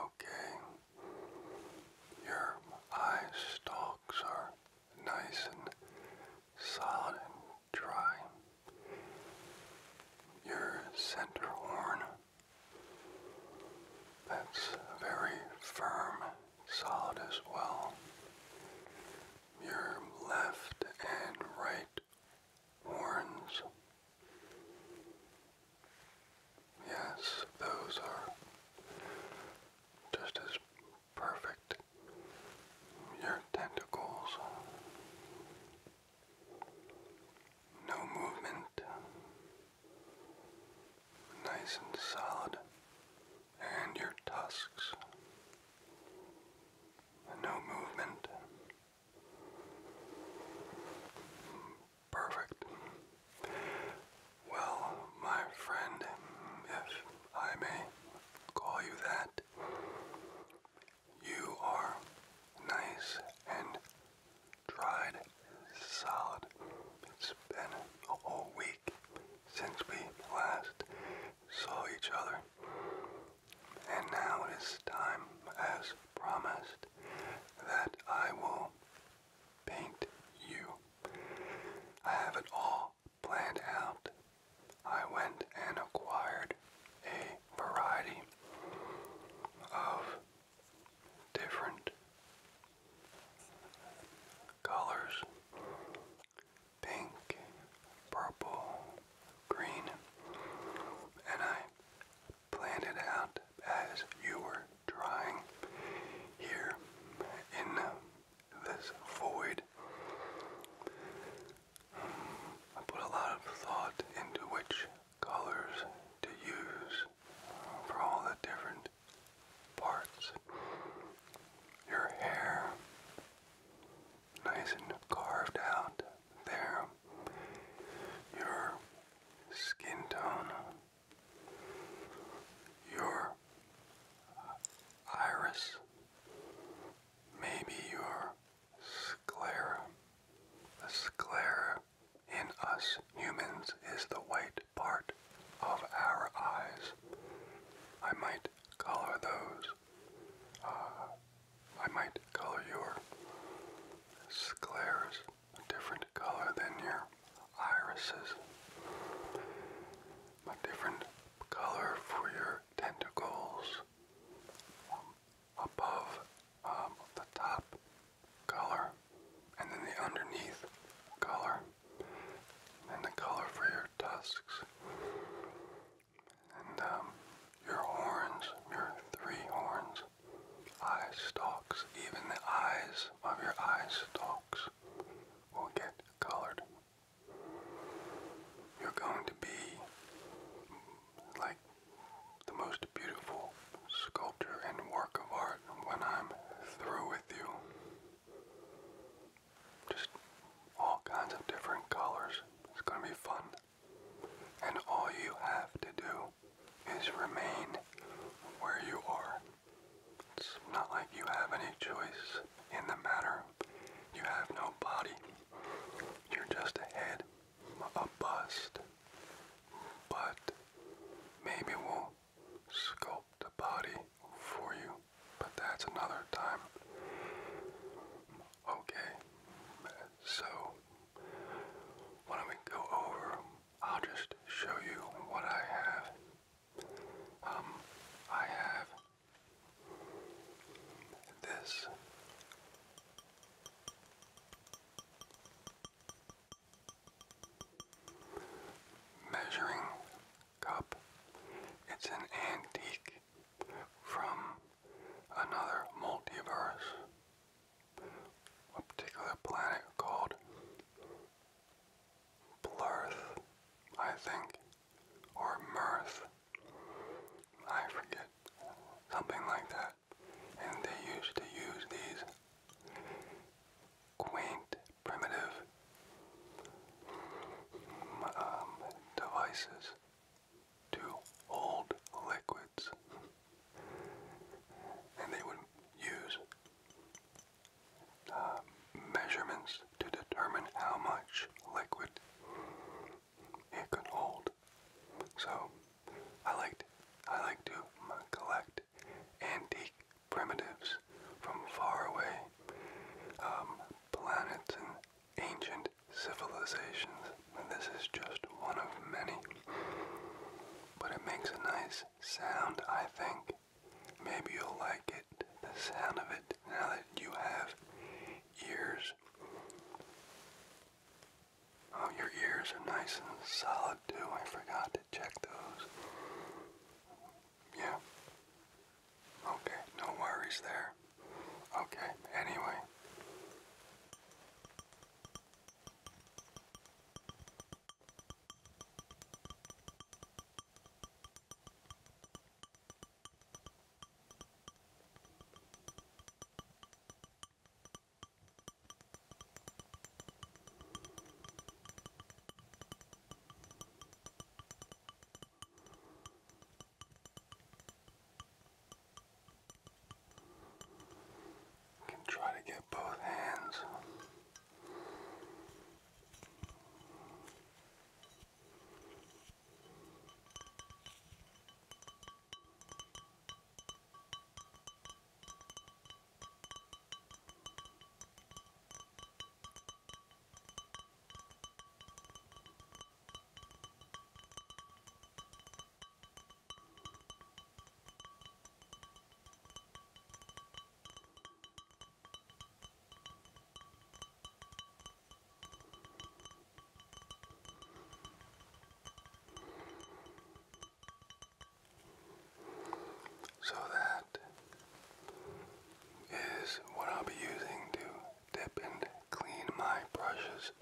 Okay, your eye stalks are nice and solid and dry. Your center horn, that's very firm, solid as well your left and right horns. Yes, those are just as perfect. Your tentacles. No movement. Nice and solid. And your tusks no movement. Perfect. Well, my friend, if I may call you that, you are nice and dried solid. It's been a whole week since we last saw each other. And now it is time, as promised, that I will paint you. I have it all planned out. I went and acquired a variety of different colors pink, purple, green, and I planned it out as you were drawing here in this void. I put a lot of thought into which colors to use for all the different parts. Your hair, nice and carved out there. Your skin tone, your iris, maybe your sclera. The sclera in us humans is the white part of our eyes. I might color those uh, I might color your scleras a different color than your irises, a different color for your tentacles um, above um, the top color, and then the underneath color, and the color for your tusks. And um, your horns, your three horns, eye stalks, even the eyes of your eye stalks will get colored. You're going to be like the most beautiful sculpture and work of art when I'm through with you. Just all kinds of different colors. It's going to be fun. And all you have to do is remain where you are. It's not like you have any choice in the matter. You have no body. You're just a head, a bust. But maybe we'll sculpt a body for you but that's another time. Okay, so when we go over, I'll just show you what I have. Um, I have this. Measuring cup. It's an antique from another multiverse, a particular planet called Blurth, I think, or Mirth. I forget, something like that. And they used to use these quaint, primitive um, devices to hold liquids. and they would use uh, measurements to determine how much liquid it could hold. So I liked I like to collect antique primitives from far away um, planets and ancient civilizations, and this is just one of many. But it makes a nice sound, I think. Maybe you'll like it, the sound of it, now that you have ears. Oh, your ears are nice and solid too. I forgot to check those. Yeah. Okay, no worries there. Okay, anyway. You can try to get both hands. So that is what I'll be using to dip and clean my brushes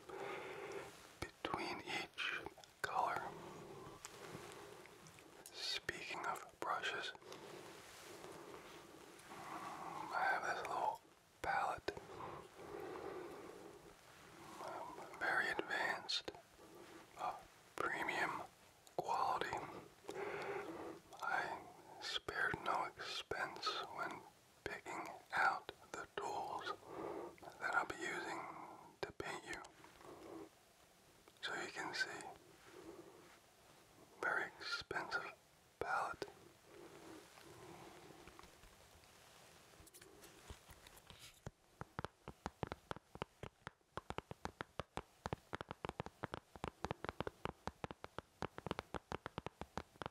between each color. Speaking of brushes, mm, I have this little palette. Mm, very advanced, uh, premium quality. I spared no expense when picking out the tools that I'll be using to paint you. So you can see, very expensive palette.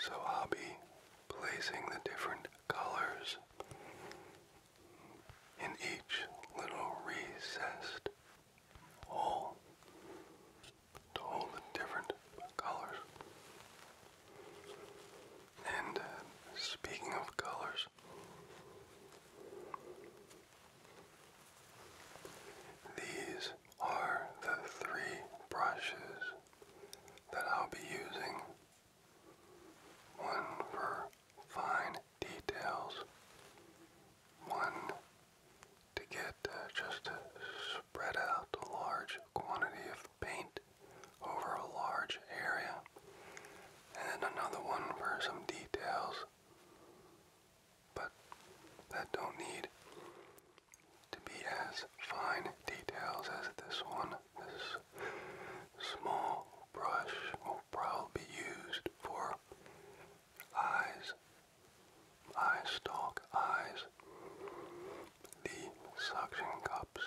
So I'll be placing the different colors in each little recessed hole to hold the different colors. And uh, speaking of colors, these are the three brushes that I'll be using. One for fine details, one to get uh, just spread out a large quantity of paint over a large area. And then another one for some details. But that don't need to be as fine details as this one. This small brush will probably be used for eyes, eye stalk eyes, the suction cups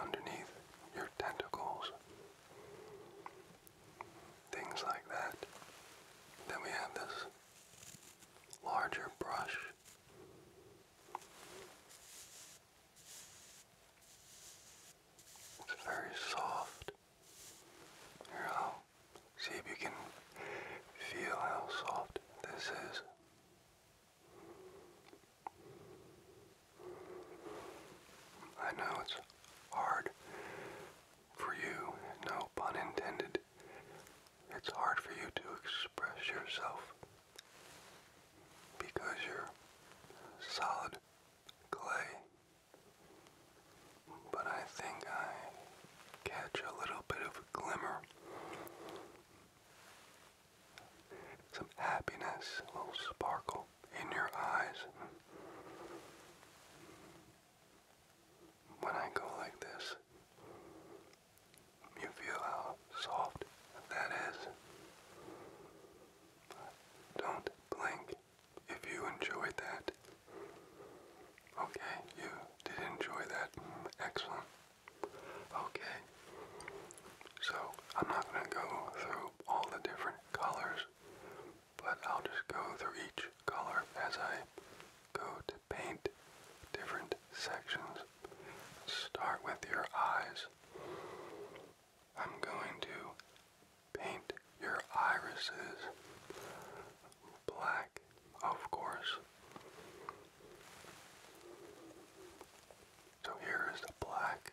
underneath your tentacles, things like that. Then we have this larger brush. It's very soft. Here, I'll see if you can feel how soft this is. I know it's hard for you, no pun intended. It's hard for you to express yourself because you're solid clay. But I think I catch a little bit of a glimmer some happiness, a little sparkle in your eyes. When I go like this, you feel how soft that is. Don't blink if you enjoyed that. Okay, you did enjoy that. Excellent. Okay. So, I'm not going to go through all the different colors, but I'll just go through each color as I go to paint different sections. Start with your eyes. I'm going to paint your irises black, of course. So here is the black.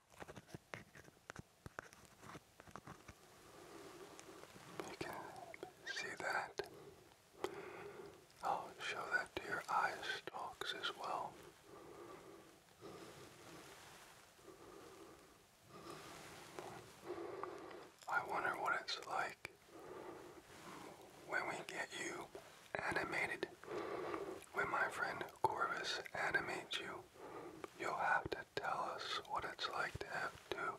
You can see that. I'll show that to your eye stalks as well. I wonder what it's like when we get you animated. When my friend Corvus animates you, you'll have to tell us what it's like to have two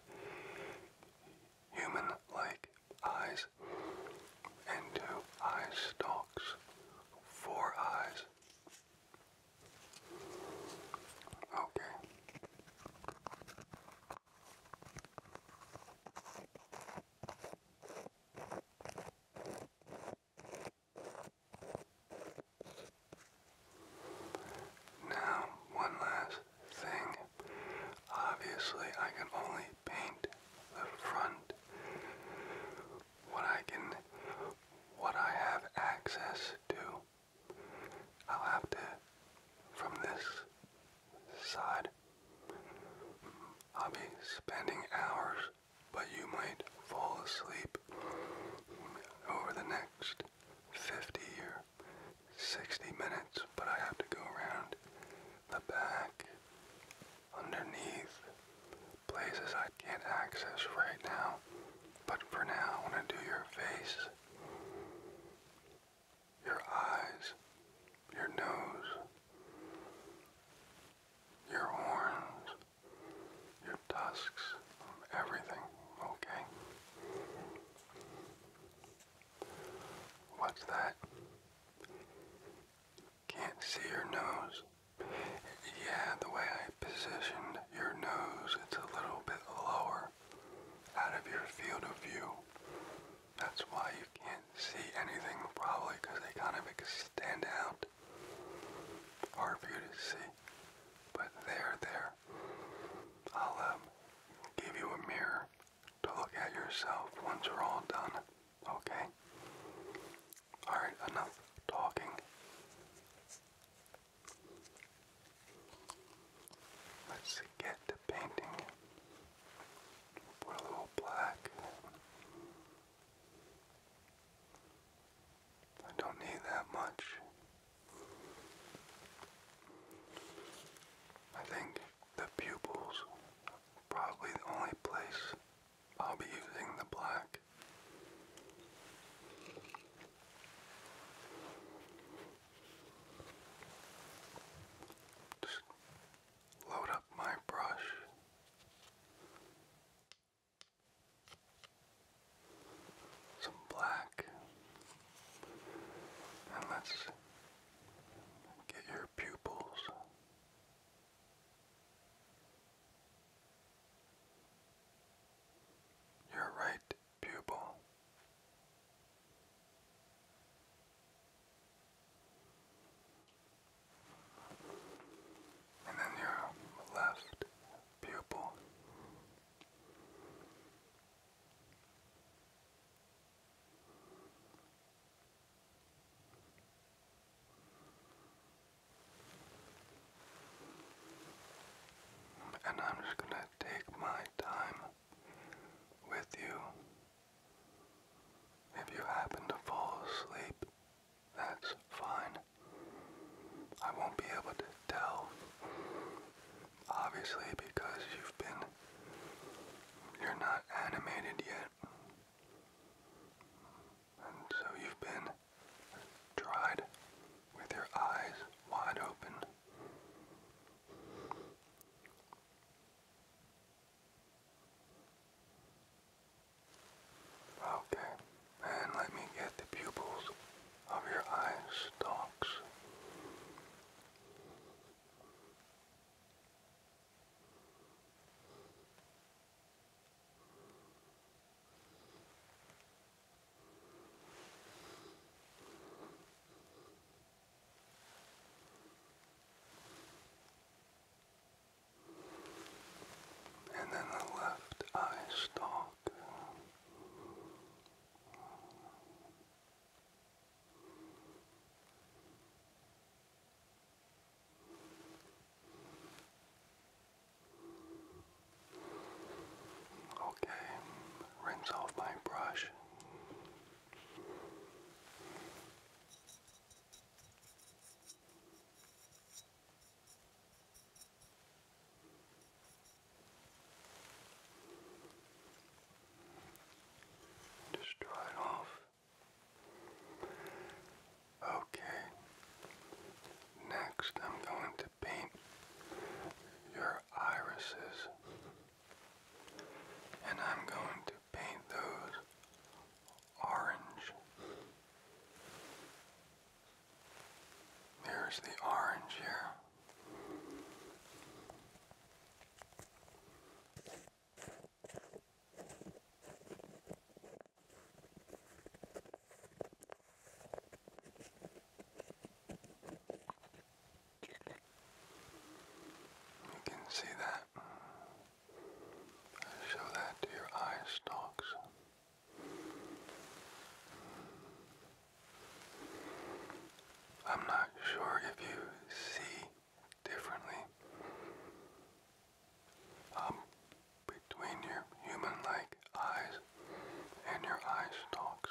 human-like eyes and two eye stalks, four eyes. Okay. Now, one last thing. Obviously, I can only paint the front. What I can, what I have access to, I'll have to, from this side, I'll be spending hours but you might fall asleep over the next 50 or 60 minutes. But I have to go around the back, underneath, places I can't access right now. But for now, I want to do your face, your eyes, your nose, your horns, your tusks, everything, okay? What's that? Can't see your nose. Yeah, the way I positioned your nose, it's a little bit lower out of your field of view. That's why you can't see anything probably because they kind of stand out hard for you to see, but there, there. I'll um, give you a mirror to look at yourself once we're all done, okay? Alright, enough talking. Let's get to painting. Put a little black I don't need that much. I think the pupils probably the only place I'll be using the black. Just load up my brush some black, and let's get your pupils. Your right pupil and then your left pupil. And I'm just going to take my time with you. If you happen to fall asleep that's fine. I won't be able to tell, obviously, because you've been. You're not animated yet. And so you've been dried with your eyes wide open. Okay, and let me get the pupils of your eye stalks and then the left eye stalk. Okay, rinse off my brush. Just dry off. Okay. Next, I'm going to paint your irises, and I'm going to paint those orange. There's the orange here. You can see that. Show that to your eye stalks. I'm not sure if you see differently um, between your human-like eyes and your eye stalks.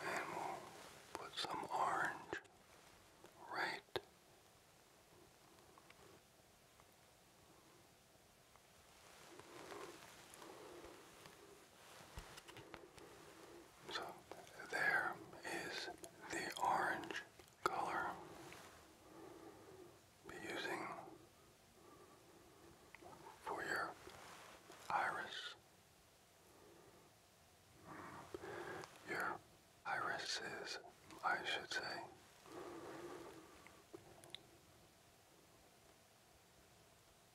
And we'll put some orange right so there is the orange color. Be using for your iris. Mm, your irises, I should say.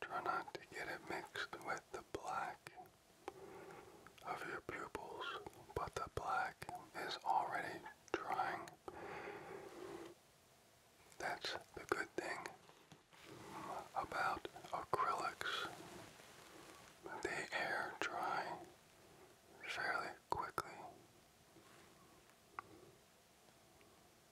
Try not to get it mixed with the black of your pupils, but the black is already drying. That's the good thing about acrylics. They air dry fairly quickly.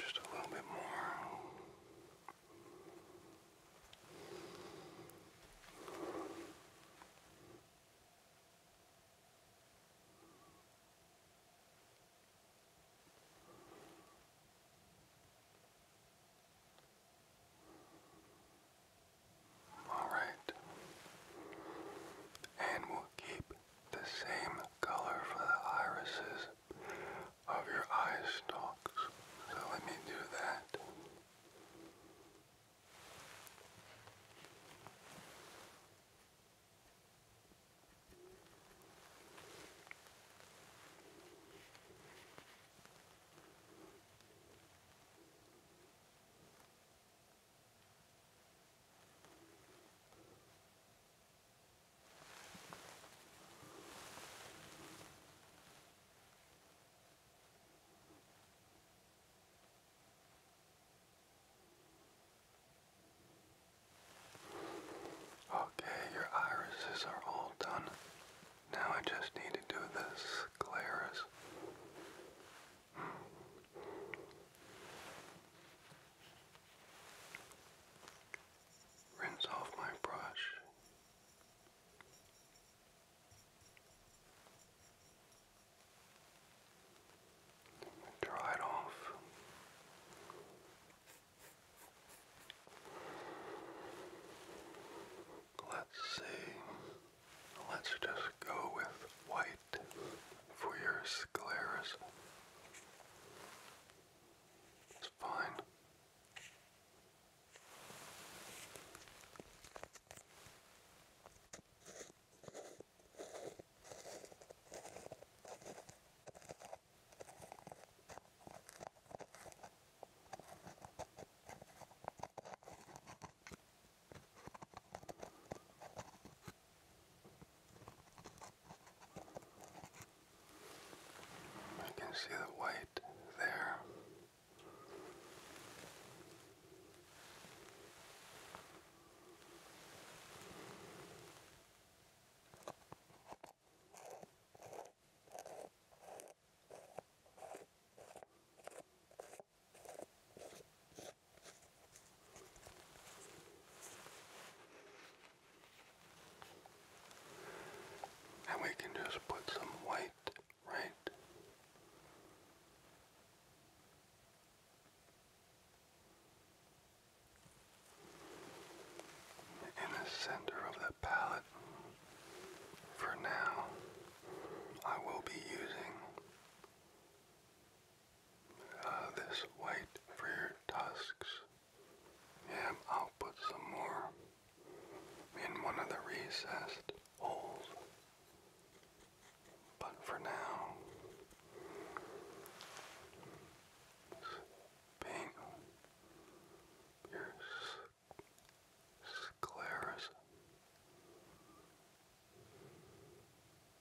Just a little bit more. All right, and we'll keep the same color for the irises of your eye stalks. So let me do that. Okay, your irises are all done. Now I just need to do this scleras. Rinse off my brush. Dry it off. Let's see. Let's just go with white for your scleras it's fine. I can see the white there. And we can just put some white right in the center of the palette. For now, I will be using uh, this white for tusks. Yeah, I'll put some more in one of the recessed holes. But for now, being your scleras.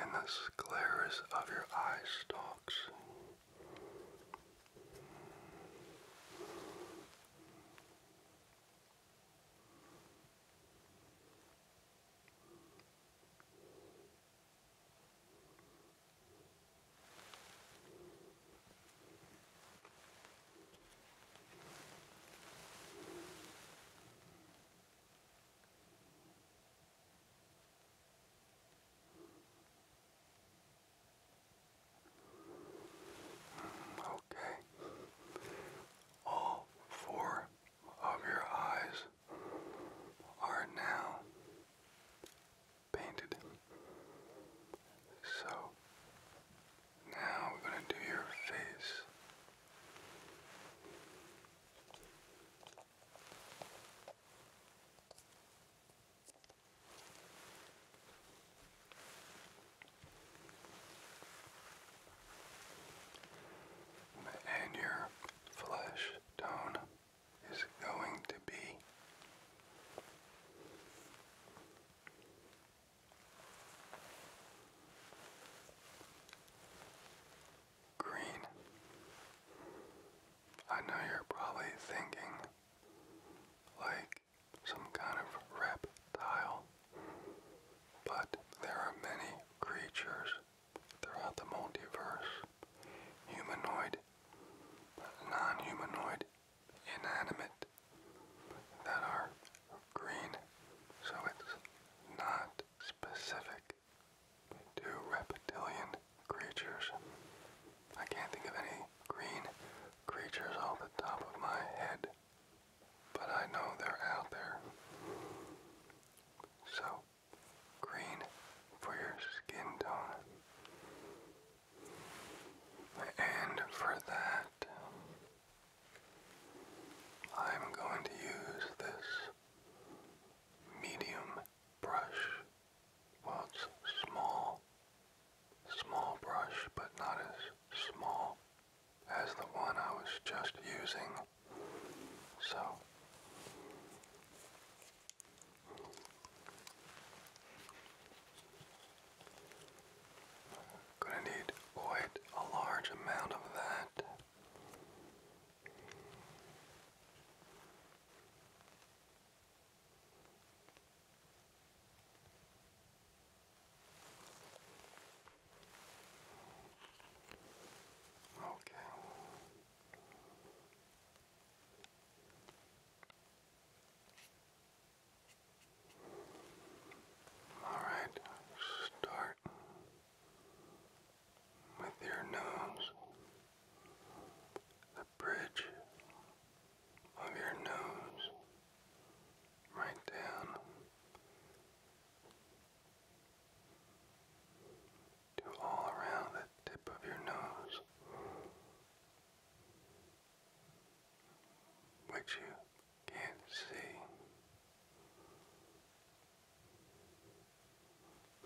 and the scleras of your eye stalks. Okay. All four of your eyes are now painted. So now we're going to do your face. And your flesh tone is going to be green. I know you're probably thinking like some kind of reptile, but there are many creatures throughout the multiverse humanoid, non humanoid, inanimate that are green, so it's not specific to reptilian creatures. I can't think of any green creatures on the top of my head, but I know they're out there. So, green for your skin tone. And for that, I'm going to use this medium brush well, it's small, small brush, but not as small as the one I was just using. So, gonna need quite a large amount of that. Okay. All right, start with your nose, the bridge of your nose, right down to all around the tip of your nose, which you can't see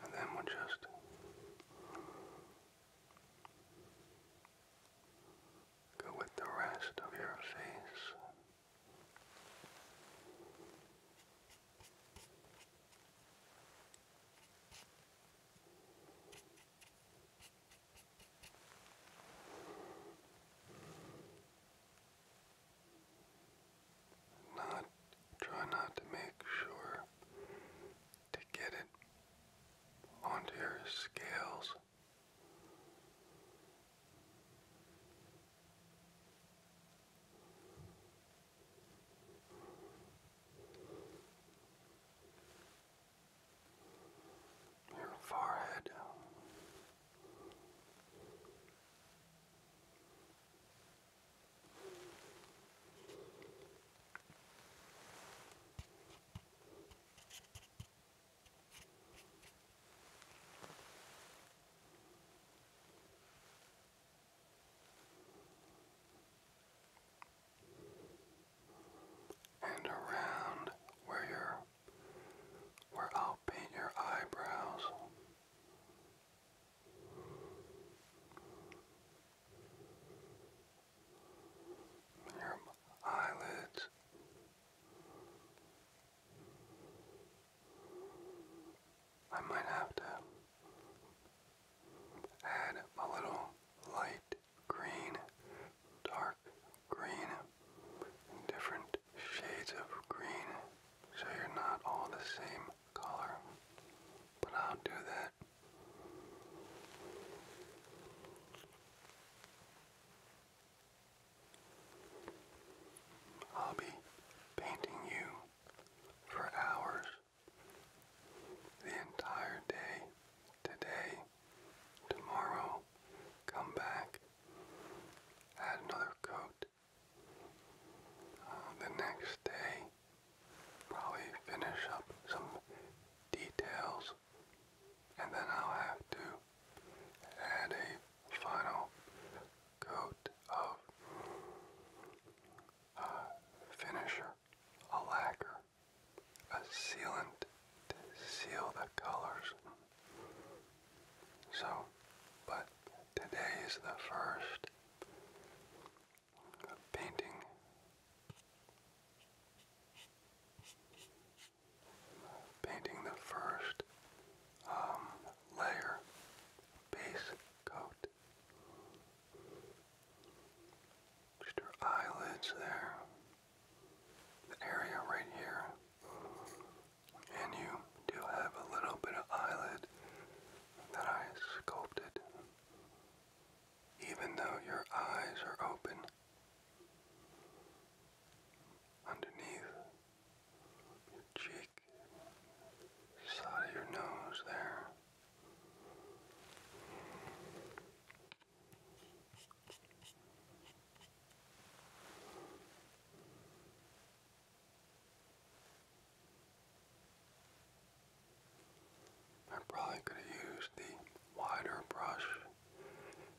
and then we'll just go with the rest of your face not try not to make sure to get it onto your scales. Your forehead. And around where you where I'll paint your eyebrows your eyelids. I might have to add a little light green, dark green, different shades of green so you're not all the same color, but I'll do that. I'll be painting you for hours the entire day, today, tomorrow, come back, add another coat. Uh, the next day, probably finish up some details and then I'll have to add a final coat of uh, finisher, a lacquer, a sealant to seal the colors. So, but today is the first painting painting the first um, layer base coat just her eyelids there the area right here and you do have a little bit of eyelid that I sculpted even though your eyes are open. Underneath your cheek, side of your nose there. I probably could have used the wider brush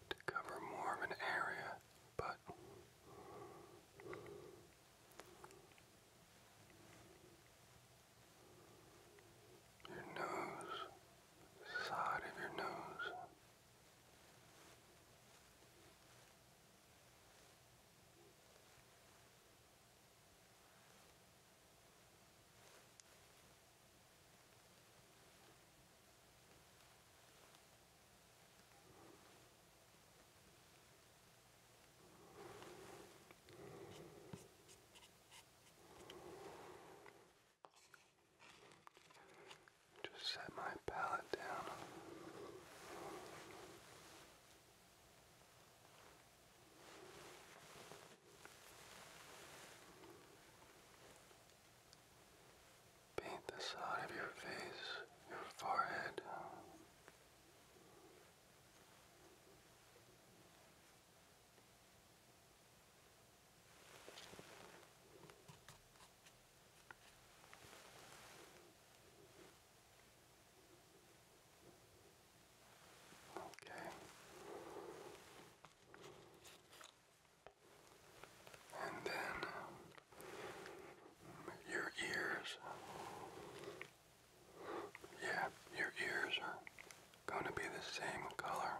to cover more of an area, but your nose, side of your nose. Just set my palette down. Paint the side of your face, your forehead. Okay. And then your ears. Yeah, your ears are going to be the same color.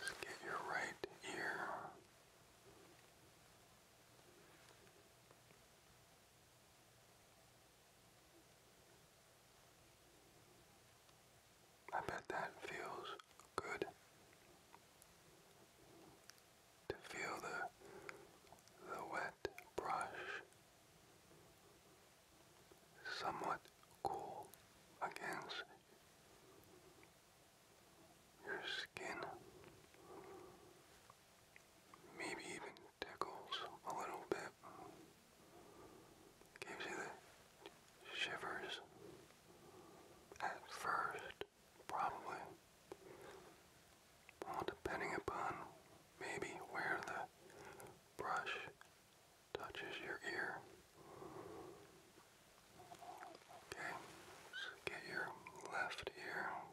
Let's get your right ear. I bet that feels good to feel the the wet brush somewhat cool against your skin, maybe even tickles a little bit. Gives you the shivers at first, probably. Well, depending upon maybe where the brush touches your ear. Okay, get your left ear.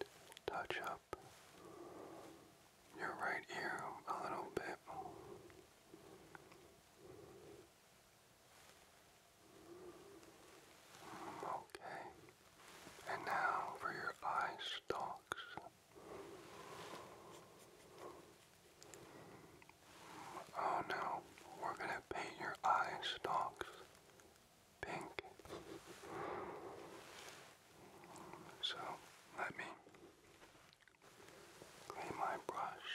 Just touch up your right ear a little bit. Okay. And now for your eye stalks. Oh no, we're gonna paint your eye stalks pink. So let me clean my brush.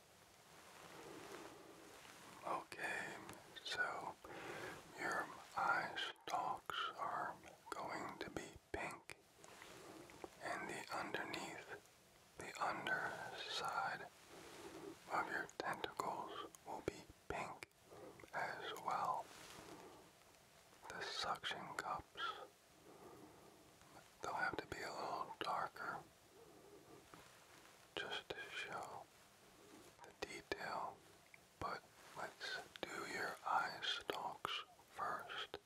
Okay, so your eye stalks are going to be pink, and the underneath, the underside of your tentacles will be pink as well. The suction cups, they'll have to be a little darker just to show the detail, but let's do your eye stalks first.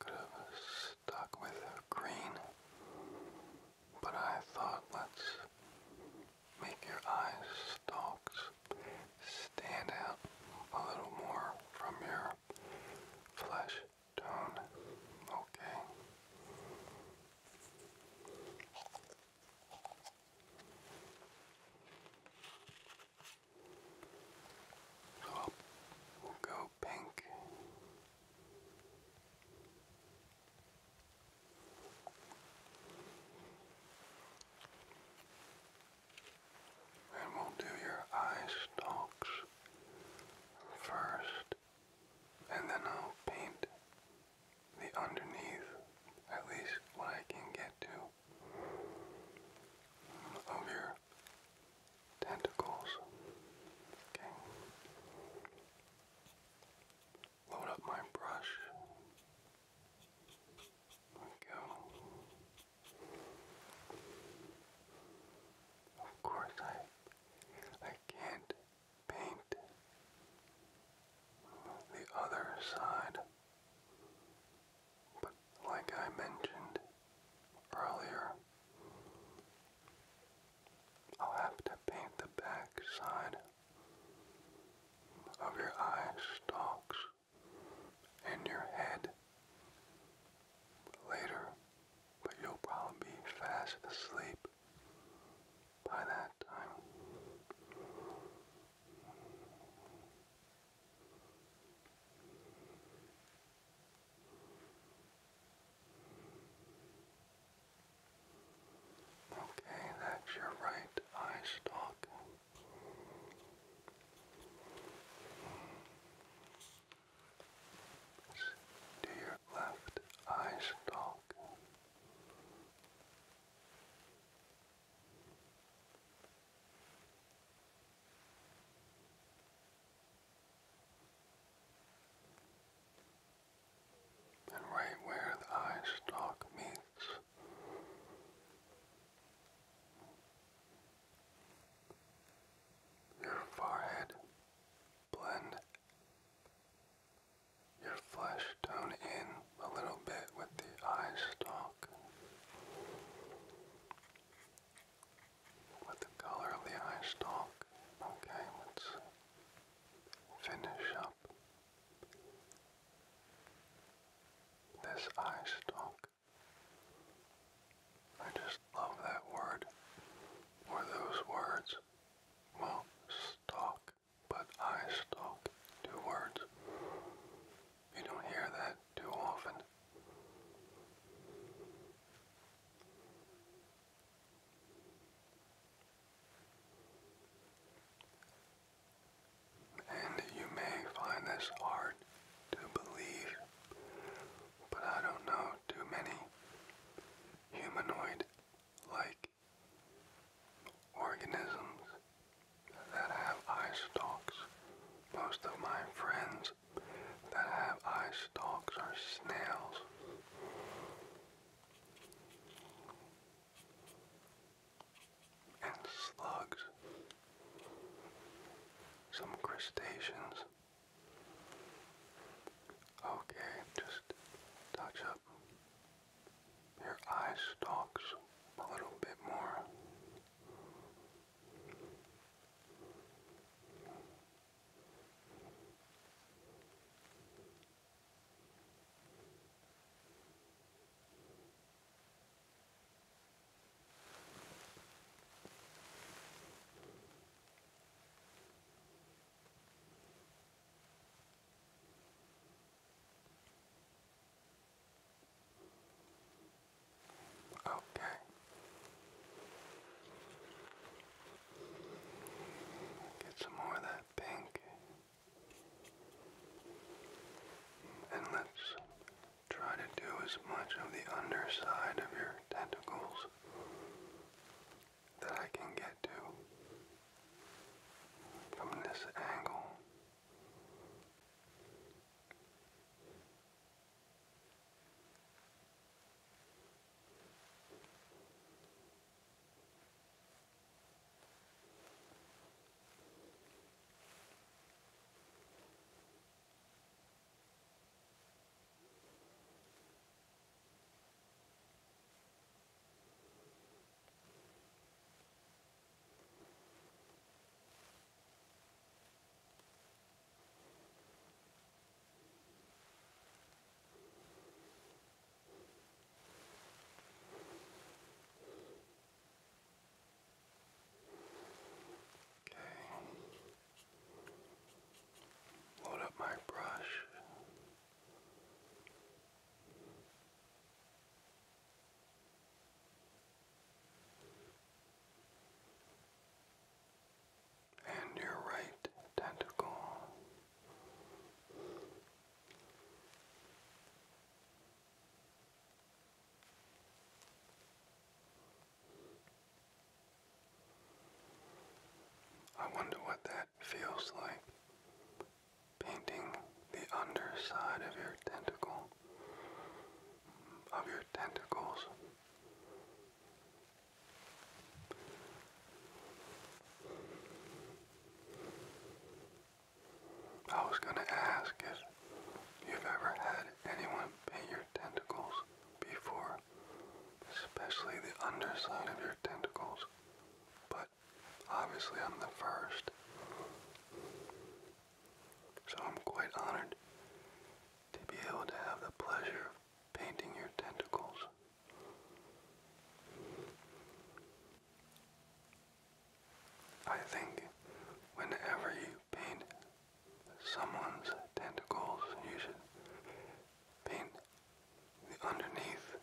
Could have stuck with green, but I thought let's make your eye stalks stand out a little more from your flesh down. Okay. So we'll go pink. And we'll do your eye stalks first and then I'll paint the underneath, at least what I can get to, of your tentacles. Okay. Load up my brush. go. Of course I I can't paint the other side. But like I mentioned earlier, I'll have to paint the back side of your eye stalks and your head later, but you'll probably fast asleep by that time. Okay, that's your right eye stalk. Do your your left eye stalk. And right where eye stalk meets, your forehead blend your flesh tone in a little bit with the eye stalk. With the color of the eye stalk. Okay, let's finish up this eye stalk. I just love that word, or those words. Well, stalk, but I stalk. Two words. You don't hear that too often. And you may find this hard to believe, but I don't know too many humanoid like organisms that have eye stalks. Most of my friends that have eye stalks are snails. And slugs, some crustaceans, Okay, just touch up your eye stalks a little bit more. Okay. Get some more of that pink. And let's try to do as much of the underside of your tentacles that I can get to from this angle. Okay. Load up my brush and your right tentacle. I wonder what that that feels like painting the underside of your tentacle, of your tentacles. I was going to ask if you've ever had anyone paint your tentacles before especially the underside of your tentacles, but obviously I'm the first. So I'm quite honored to be able to have the pleasure of painting your tentacles. I think whenever you paint someone's tentacles, you should paint underneath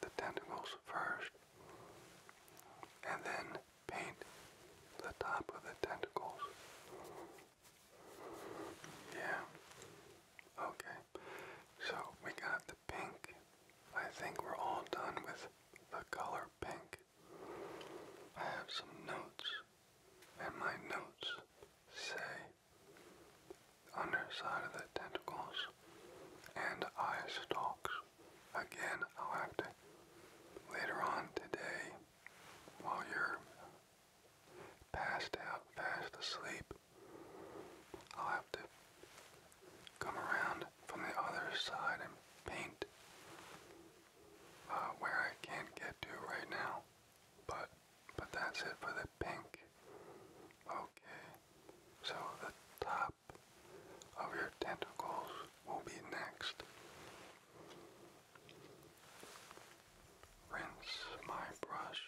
the tentacles first, and then paint the top of the tentacles. Yeah. Okay. So we got the pink. I think we're all done with the color pink. I have some notes, and my notes say underside of the tentacles and eye stalks. Again, I'll have to later on today while you're passed out, fast asleep, I'll have to come around from the other side and paint uh, where I can't get to right now. But but that's it for the pink. Okay, so the top of your tentacles will be next. Rinse my brush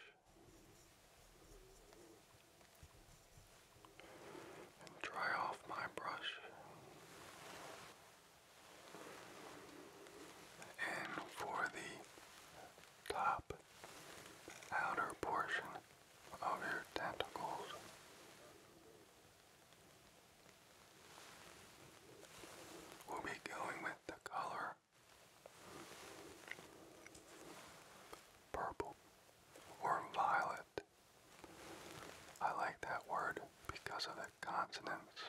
dry off my brush. And for the top outer portion of your tentacles. We'll be going with the color purple or violet. I like that word because of the consonants.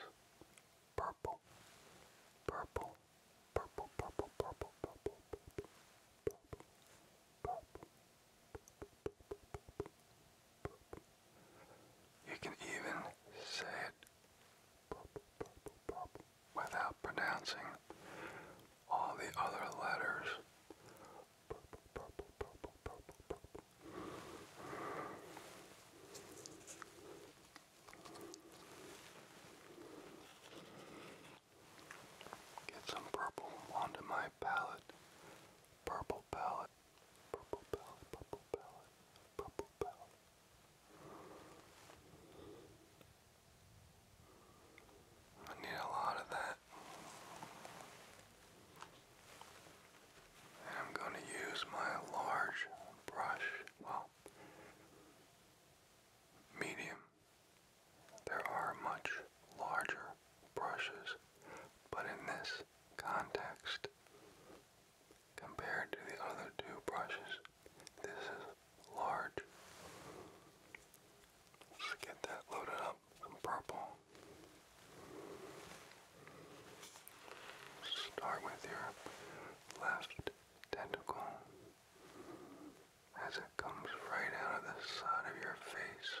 Purple, purple, you can even say it without pronouncing all the other letters. Get some purple onto my palette. Purple palette. Purple palette. Purple palette. Purple palette. I need a lot of that. And I'm going to use my large brush. Well, medium. There are much larger brushes, but in this context, compared to the other two brushes, this is large. get that loaded up, some purple. Start with your left tentacle as it comes right out of the side of your face.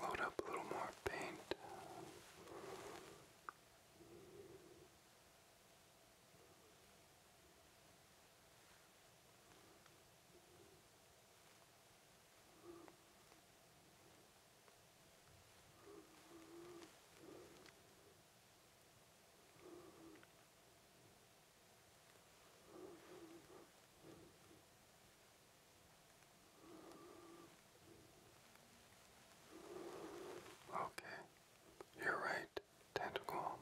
Load up a little more paint. Okay, you're right, tentacle.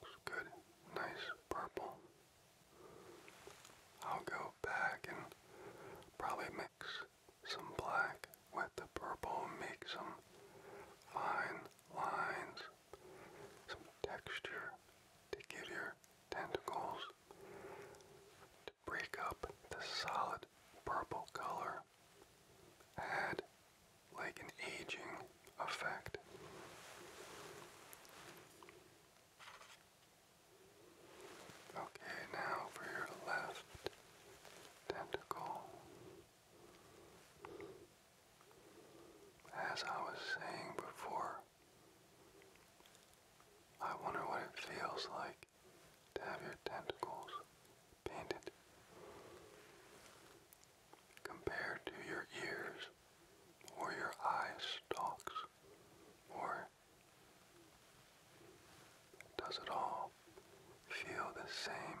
Looks good, nice purple. I'll go back and probably mix some black with the purple, make some fine lines, some texture to give your tentacles to break up the solid purple color had like an aging effect. Okay, now for your left tentacle. As I was saying before, I wonder what it feels like to have your tentacles painted compared to your ears or your eye stalks or does it all feel the same?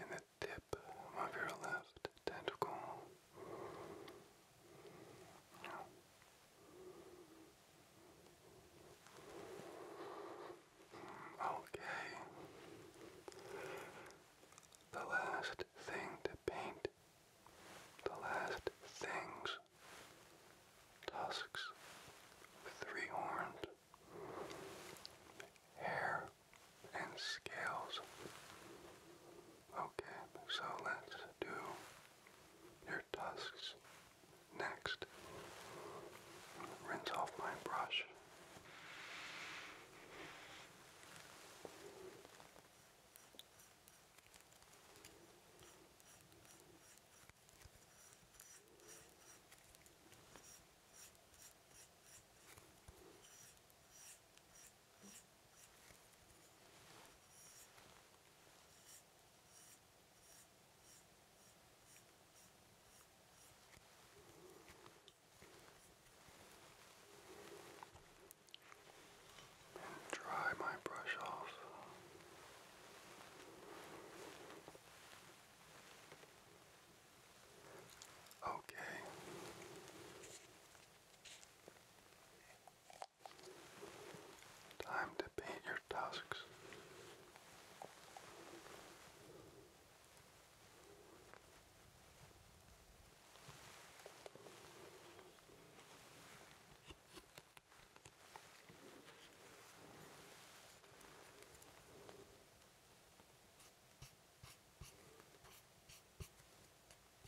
In the tip of your left tentacle, Okay. The last thing to paint, the last things, tusks with three horns, hair and scales. Okay, so let's do your tusks next. Rinse off my brush. Dry my brush off. Okay. Time to paint your tusks.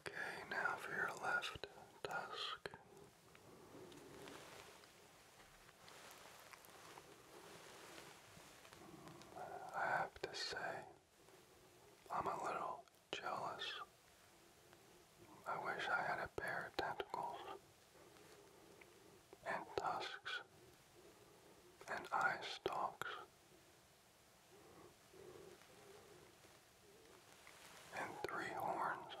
Okay, now for your left tusk. I have to say, I'm a little jealous. I wish I had a pair of tentacles and tusks and eye stalks. And three horns.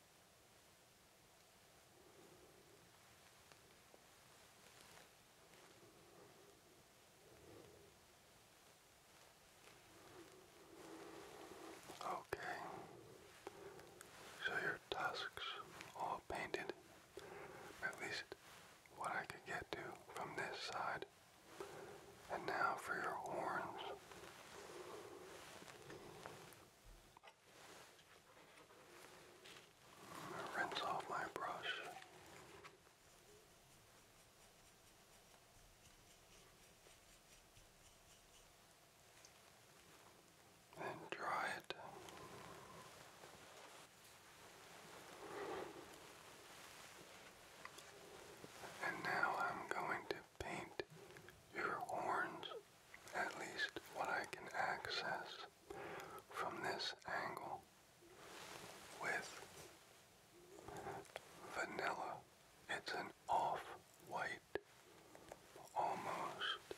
Okay, so your tusks all painted, at least what I could get to from this side. And now for your horns. I rinse off my brush. And dry it. And now I'm going to paint your horns, at least what I can access from this angle, with vanilla. It's an off-white, almost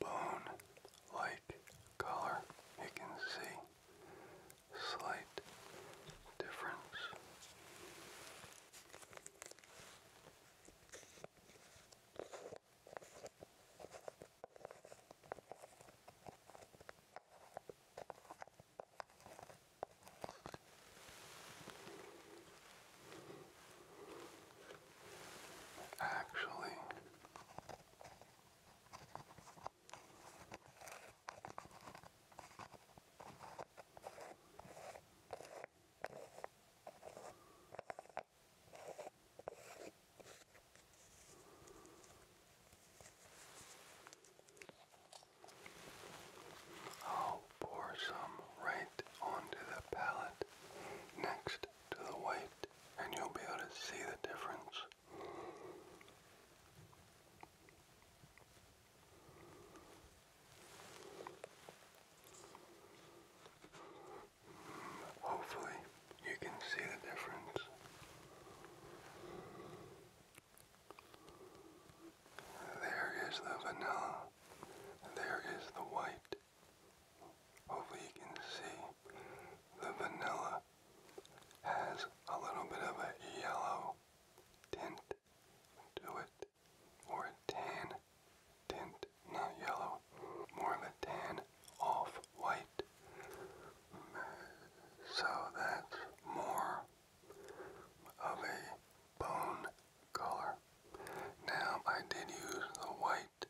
bone-like color, you can see slight difference. Actually, I'll pour some right onto the palette next to the white, and you'll be able to see the difference. Hopefully, you can see the difference. There is the vanilla. There is the white. Hopefully you can see the vanilla has a little bit of a yellow tint to it, or a tan tint, not yellow, more of a tan off white. So that's more of a bone color. Now I did use the white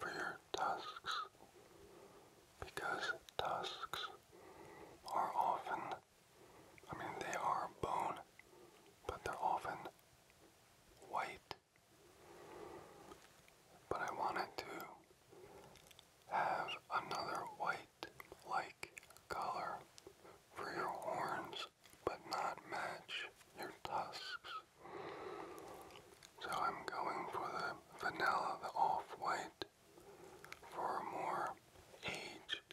for your tusks because tusks are often I mean, they are bone, but they're often white. But I wanted to have another white like color for your horns, but not match your tusks. So I'm going for the vanilla, the off white for more aged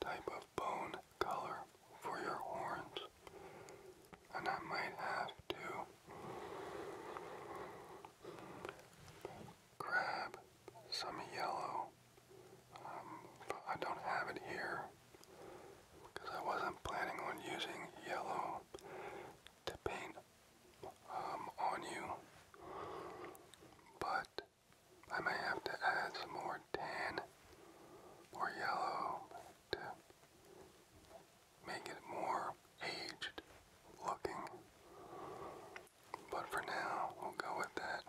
type of bone color for your horns. And I might have to grab some yellow. Um, I don't have it here because I wasn't planning on using yellow to paint um, on you. But I may have to add some more tan or yellow to make it more aged looking. But for now, we'll go with that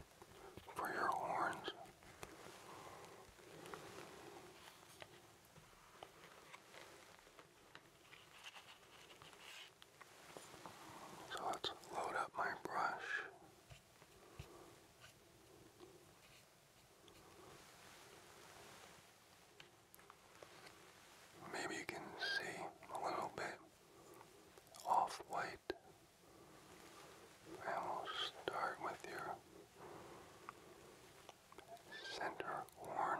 for your horns. So let's load up my brush. Maybe you can see a little bit off white. And we'll start with your center horn.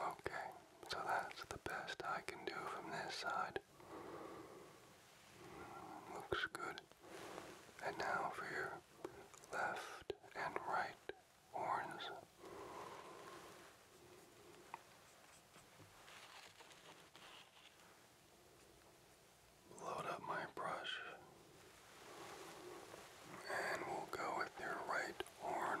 Okay, so that's the best I can do from this side. Looks good. And now for your left and right horns. Load up my brush. And we'll go with your right horn.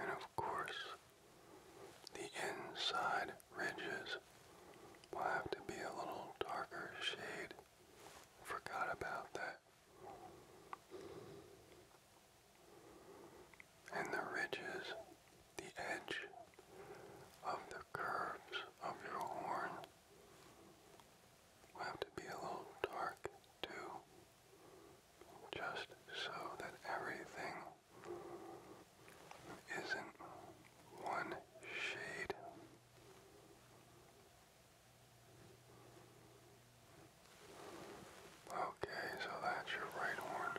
And of course, the inside ridges will have to be a little darker shade. Forgot about that. And the ridges the edge of the curves of your horn will have to be a little dark too, just so that everything isn't one shade. Okay, so that's your right horn.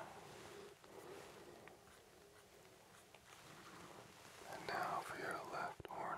And now for your left horn.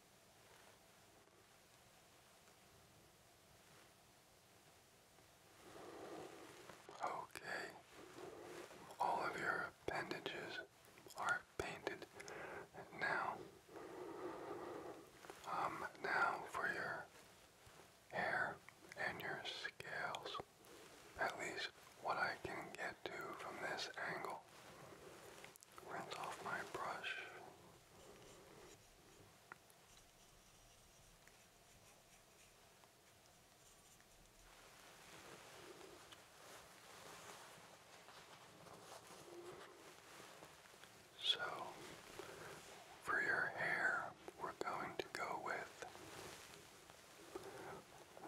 Okay, all of your appendages are painted now. Um, now for your hair and your scales. At least what I can get to from this angle. Rinse off my brush. So, for your hair, we're going to go with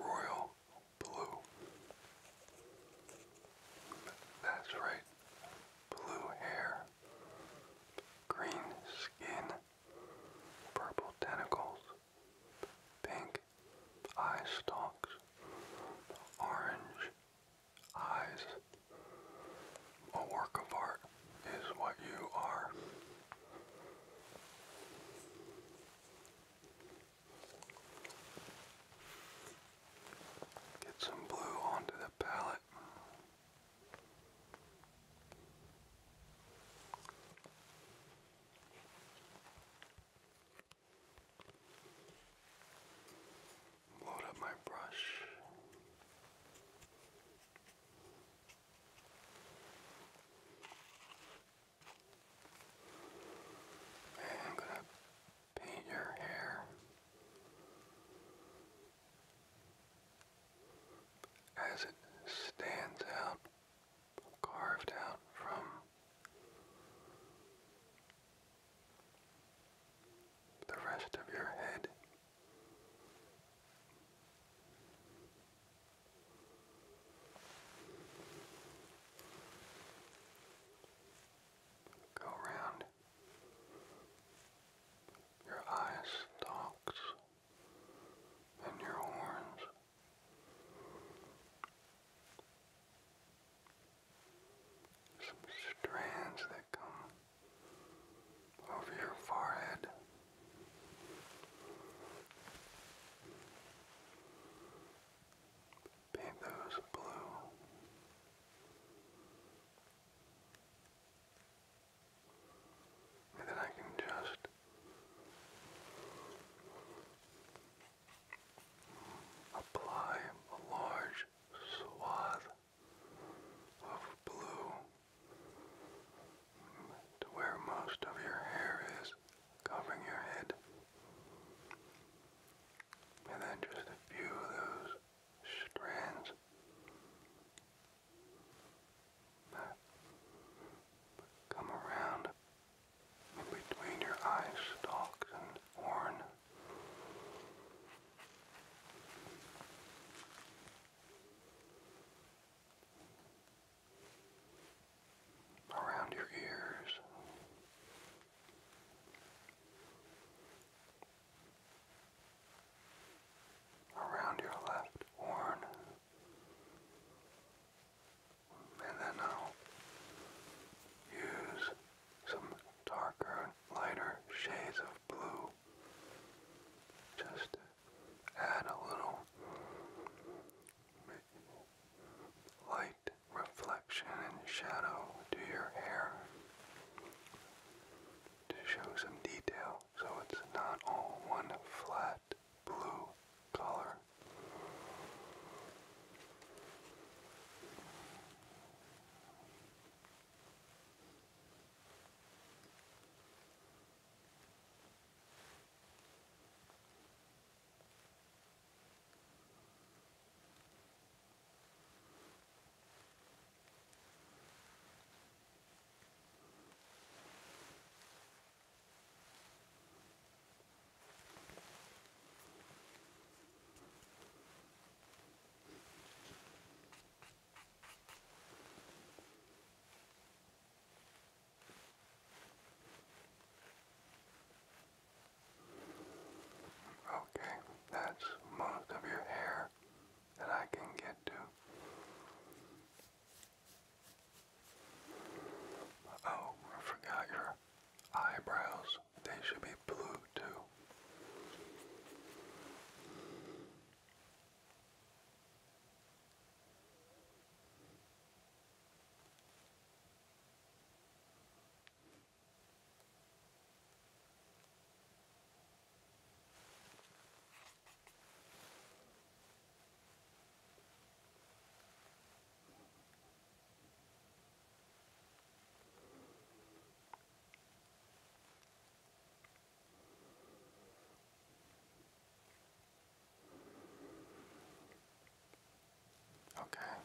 royal blue. That's right, blue hair green skin, purple tentacles, pink eye stalks, orange eyes. A work of art is what you are. Get some blue onto the palette. Load up my brush. And I'm gonna paint your hair as it stands out, carved out from the rest of your head. Go round your eye stalks, and your horns. Some strands that come over your forehead. Paint those blue then I can just apply a large swath of blue to where most of your hair is covering your head. And then just a few of those strands. come around in between your eye stalks and horn. Around your ears, around your left horn. And then I'll use some darker, lighter shades of blue. Just add a little light reflection and shadow to your hair to show some detail so it's not all one flat blue color. Okay, that's most of your hair that I can get to. Oh, forgot your eyebrows. They should be blue too. Okay,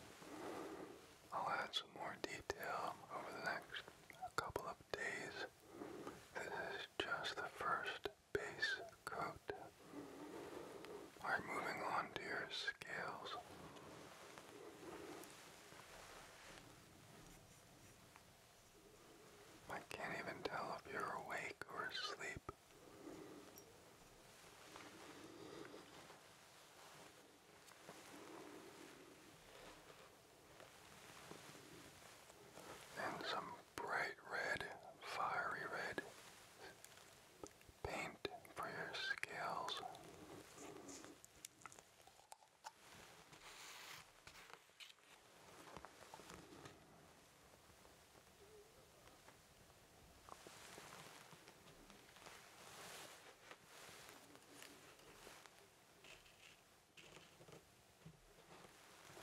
I'll add some more detail over the next a couple of days. This is just the first base coat. Alright, moving on to your scales. I can't even tell if you're awake or asleep. Then some bright red, fiery red paint for your scales.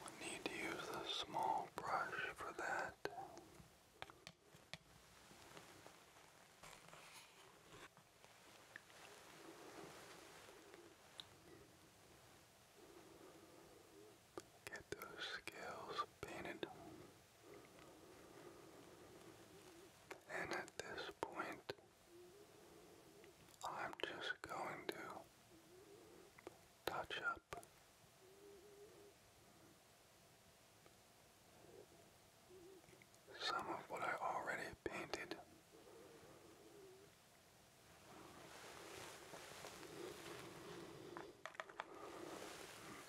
We need to use a small brush for that. Get those scales painted. And at this point, I'm just going to touch up some of what I already painted.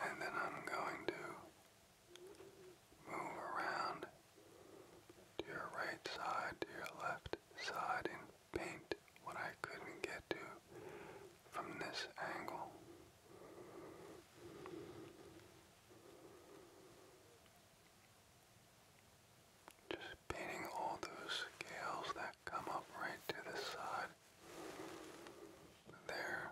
And then I'm going to move around to your right side, to your left side, and paint what I couldn't get to from this angle. Just painting all those scales that come up right to the side. There.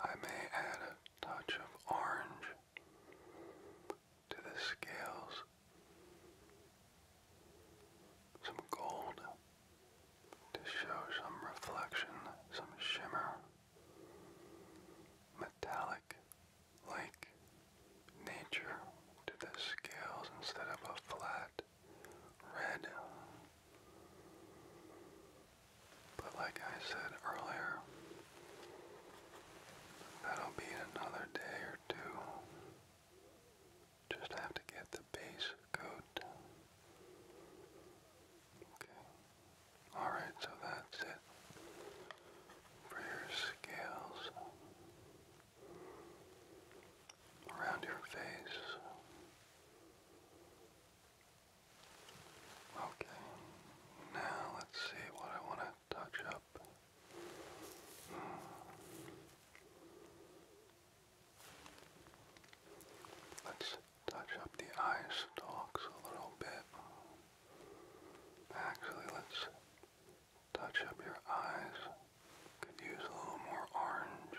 I may add a touch of orange to the scales, some gold to show some reflection, some shimmer metallic like nature to the scales instead of a flat red. But like I said earlier, that'll be another day or two. Just have to get the base coat Okay. Alright, so that's it for your scales. Around your face. Okay. Now let's see what I want to touch up. Hmm. Let's touch up the eye stalks a little bit. Actually, let's touch up your eyes. Could use a little more orange.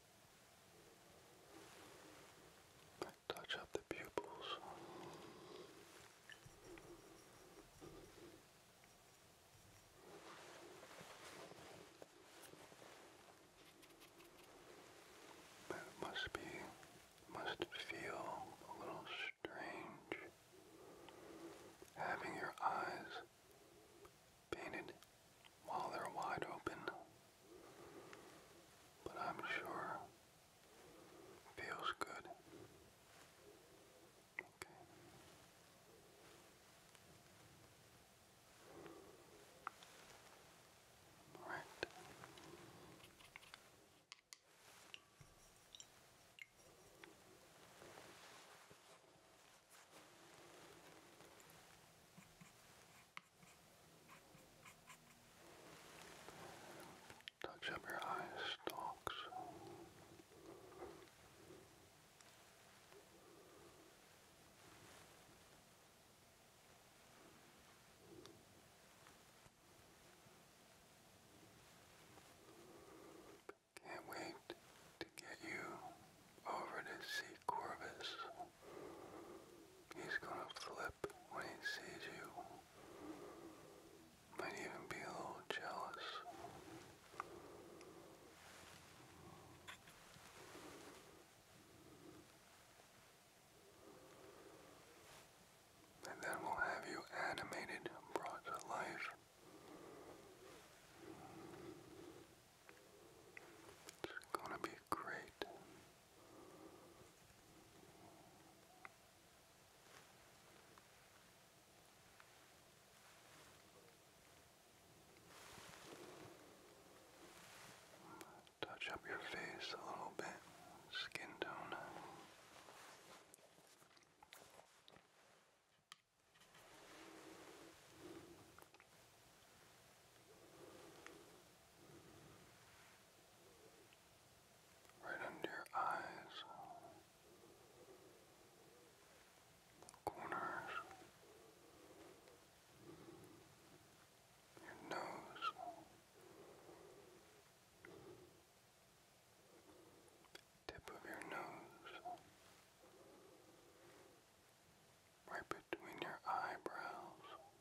Touch up the pupils. But must be, must feel a little strange having your eyes painted while they're wide open, but I'm sure feels good. Okay. All right. Touch up your eye stalks. Can't wait to get you over to see Corvus. He's gonna flip when he sees you. Might even be a little jealous. And then we'll have you animated, brought to life. It's gonna be great. Touch up your face a little bit, skin tone. Right under your eyes, corners, your nose, tip of your nose, right between your eyebrows.